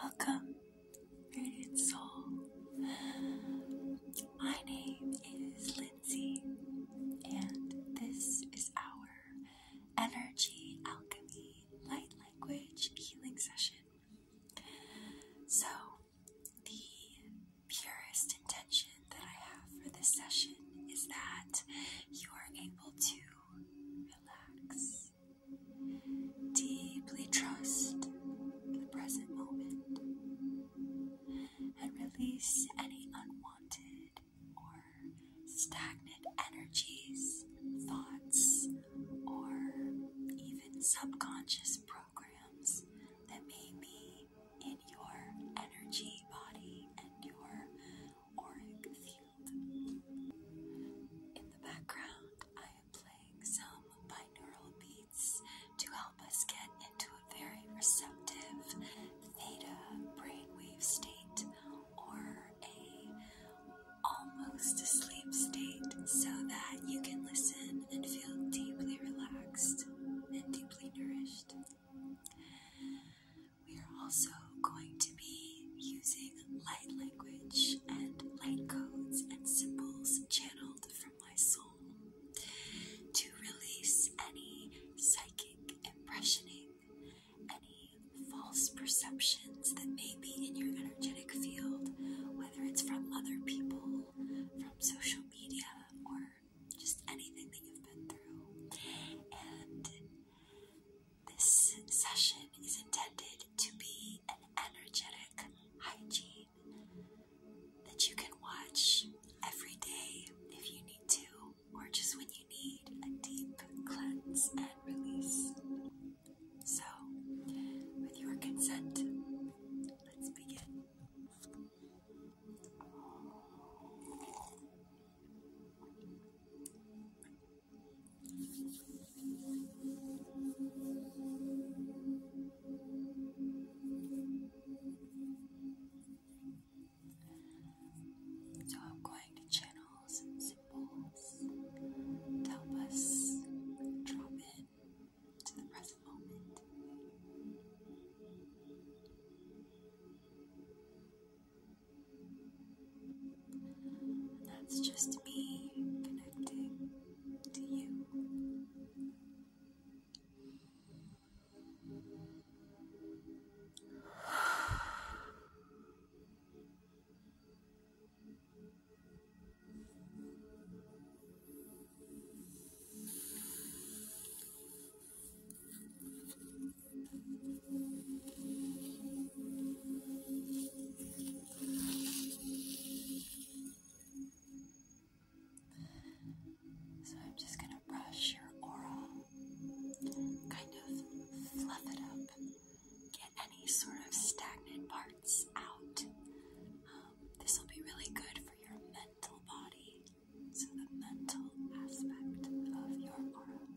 Welcome, radiant soul. My name is Lindsay, and this is our energy alchemy light language healing session. So, the purest intention that I have for this session is that you are able to relax Deeply trust the present moment and release any unwanted or stagnant energies, thoughts, or even subconscious programs that may be in your energy body and your auric field. In the background, I am playing some binaural beats to help us get into a very receptive theta brainwave state or a almost asleep state so that you can listen and feel deeply relaxed and deeply nourished. We are also going to be using light language and light codes and symbols channeled from my soul to release any psychic impressioning, any false perceptions that may be in your energetic field, whether it's from other people, from social media, or just anything that you've been through. This session is intended to be an energetic hygiene that you can watch every day if you need to, or just when you need a deep cleanse and release. So, with your consent, let's begin. So I'm going to channel some help us drop in to the present moment. That's just me connecting to you. So I'm just going to brush your aura, kind of fluff it up, get any sort of stagnant parts out. Um, this will be really good for your mental body, so the mental aspect of your aura.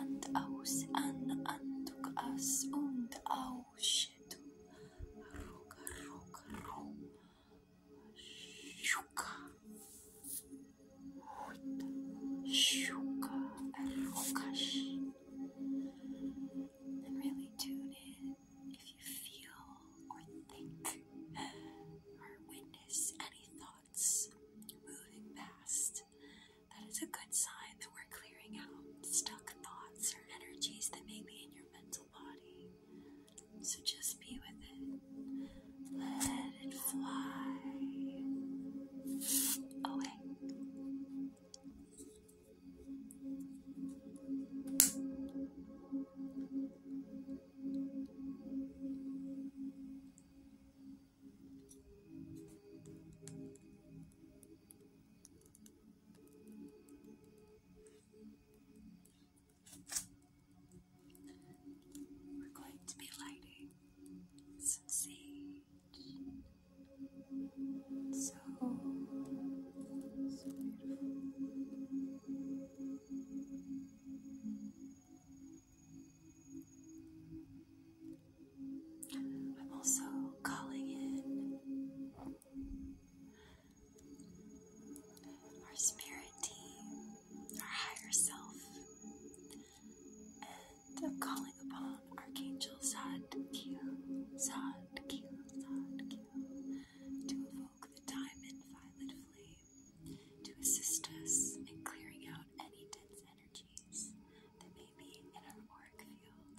and aus an anduk as und aushetu roka roka ro shuka huta shuka rokash and really tune in if you feel or think or witness any thoughts moving past, that is a good sign that we're clearing out stuck thoughts or energies that may be in your mental body. So just be with it. Let it fly away. We're going to be lighting some sage. so beautiful. I'm also calling in our spirit team, our higher self, and I'm calling upon Archangel Zadkiel, Zadkiel, Zadkiel to evoke the diamond violet flame to assist us in clearing out any dense energies that may be in our auric field.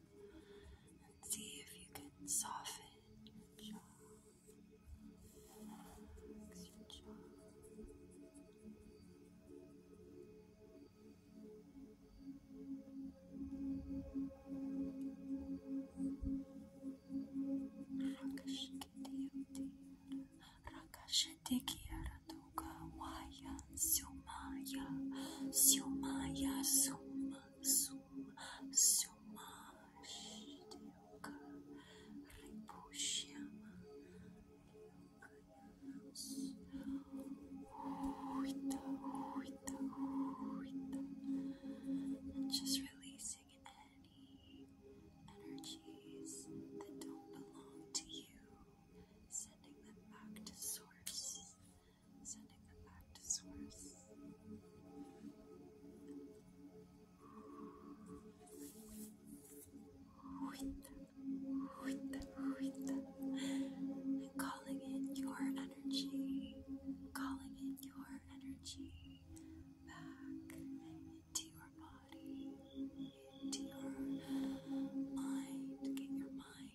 and see if you can soften your jaw. Relax your jaw. Rakashiti, Rakashiti, Rakashiti, Duga Waya Sumaya Sumaya Suma Suma Suma Duga Ripushyama Huita Huita Huita and just releasing any energies that don't belong to you, sending them back to source sending them back to source. And calling in your energy, calling in your energy back into your body, into your mind. Get your mind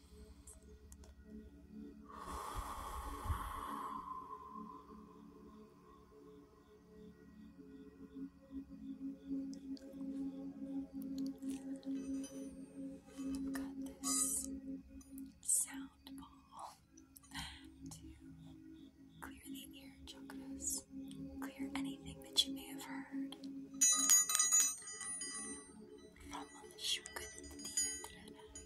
I've got this sound ball to clear the ear chakras, clear anything that you may have heard from the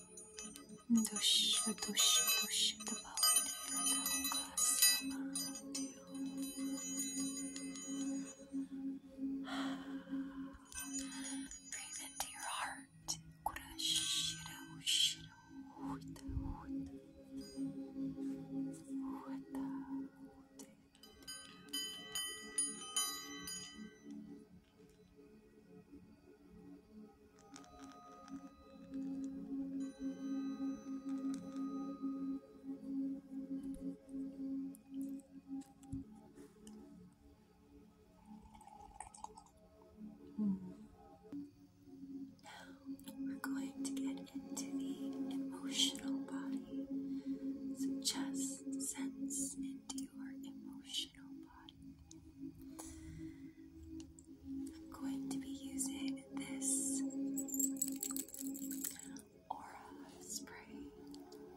Dusha, dusha, dusha, the Baudila, the Ugasya, Breathe into your heart. Kurashira, ushira, uta, uta. Uta, uta. Now hmm. we're going to get into the emotional body. So just sense into your emotional I'm going to be using this aura spray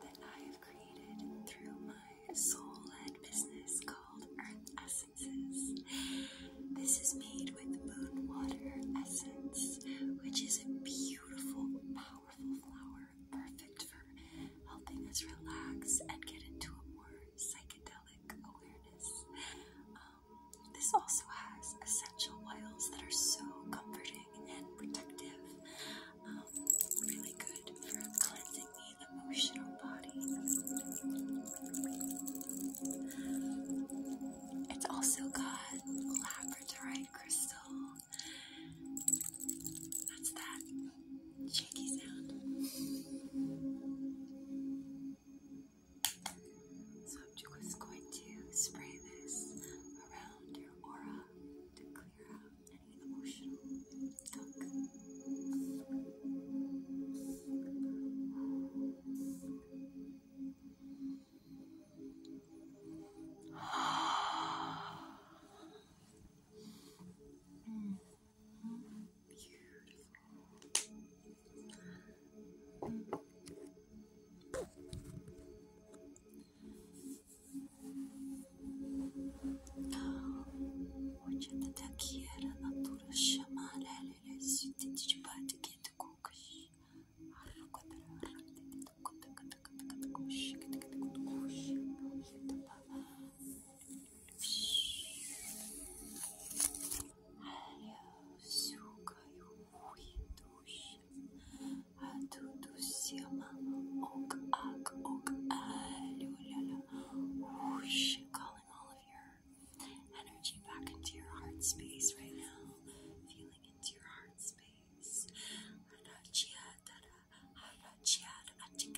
that I have created through my soul-led business called Earth Essences. This is made with moon water essence, which is a beautiful, powerful flower, perfect for helping us relax and get into a more psychedelic awareness. Um, this also has essential oils that are so comforting and protective. Um, really good for cleansing the emotional body. It's also got labradorite crystal. That's that shaky sound. So I'm just going to spray this around your aura to clear out any emotional gunk. mm. Beautiful. Ocağına taki yarana duruşa mahalleyle sütü çıpardı kendi kokuş. Harra kadar harra dedi. Tıkı tıkı tıkı tıkı koş. Tıkı tıkı koş. Tıkı tıkı koş. Calling all of your energy back into your heart space right now, feeling into your heart space.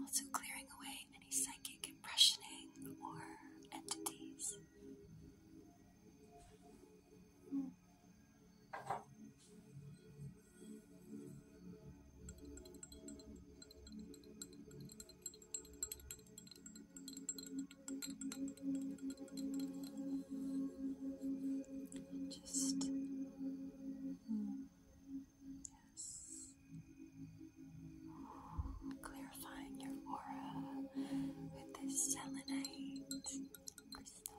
Also, clearing away any psychic impressioning or entities. Just mm, yes, clarifying your aura with this selenite crystal.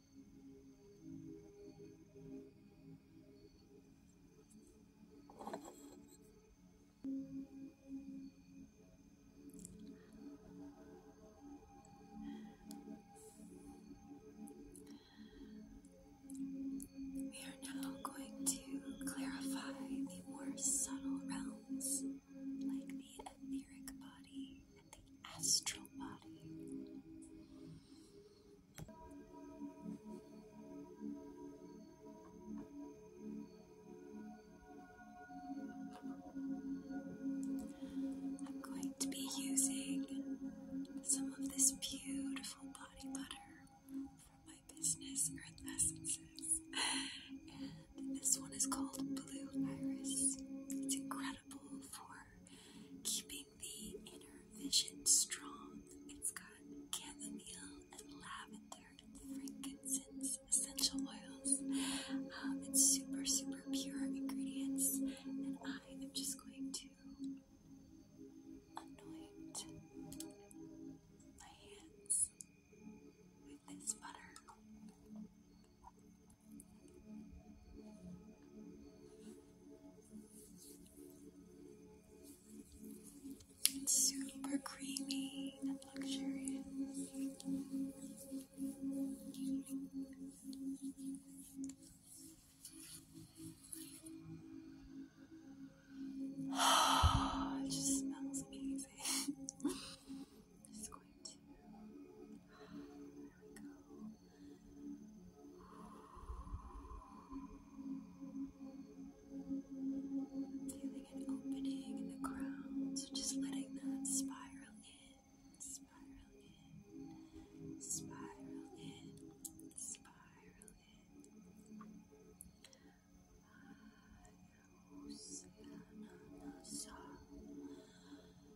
We are now going to clarify the more subtle realms, like the etheric body the astral body. I'm going to be using some of this beautiful body butter from my business Earth Essences. And this one is called Blue Iris. It's incredible for keeping the inner vision strong. It's got chamomile and lavender and frankincense essential oils. Um, it's super, super pure ingredients, and I am just going to anoint my hands with this butter. It's super creamy and luxurious. it just smells amazing. just going to we go. Feeling an opening in the ground, just letting that spiral in, spiral in, spiral in, spiral in.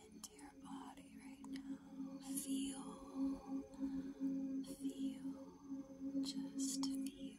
into your body right now. Feel, feel, just feel. Feel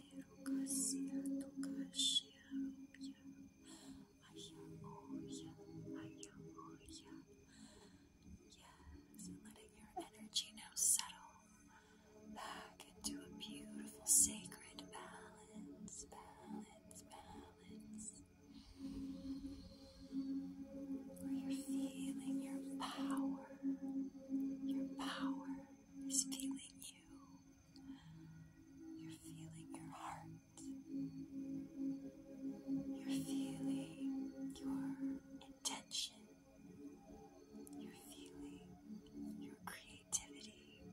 Yes, letting your energy now settle back into a beautiful sacred balance, balance, balance. Where you're feeling your power, your power, it's feeling you. You're feeling your heart. You're feeling your intention. You're feeling your creativity.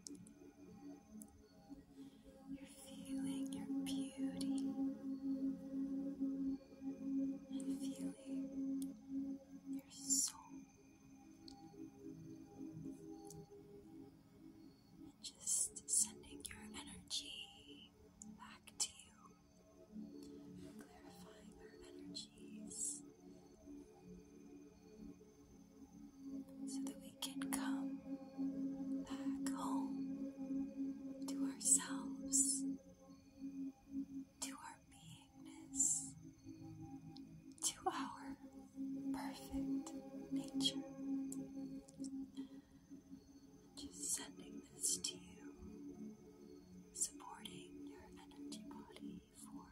You're feeling your beauty. And feeling your soul just sending your energy back to you, clarifying your energies so that we can come back home to ourselves to our beingness, to our perfect nature. Just sending this to you, supporting your energy body for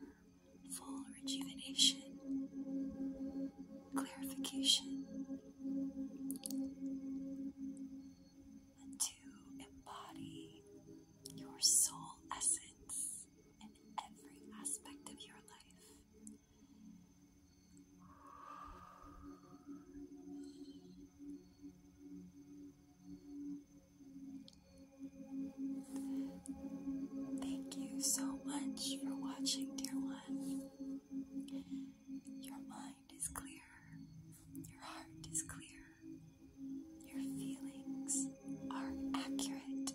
full rejuvenation, clarification, and to embody your soul essence in every aspect of your life. Thank you so much for watching, dear one. Your mind is clear, your heart is clear, your feelings are accurate.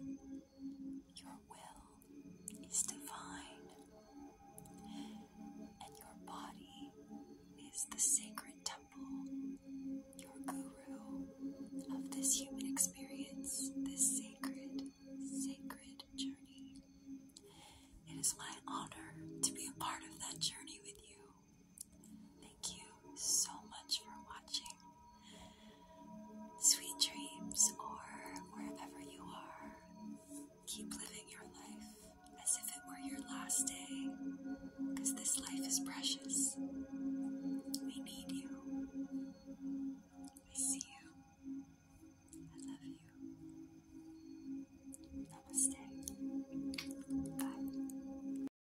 Your will is divine. And your body is the sacred temple, your guru of this human experience, this sacred, sacred journey. It is my honor to be a part of that journey with you. Thank you so much for watching. Sweet dreams, or wherever you are, keep living your life as if it were your last day, because this life is precious. We need you. We see you. I love you. Namaste. Bye.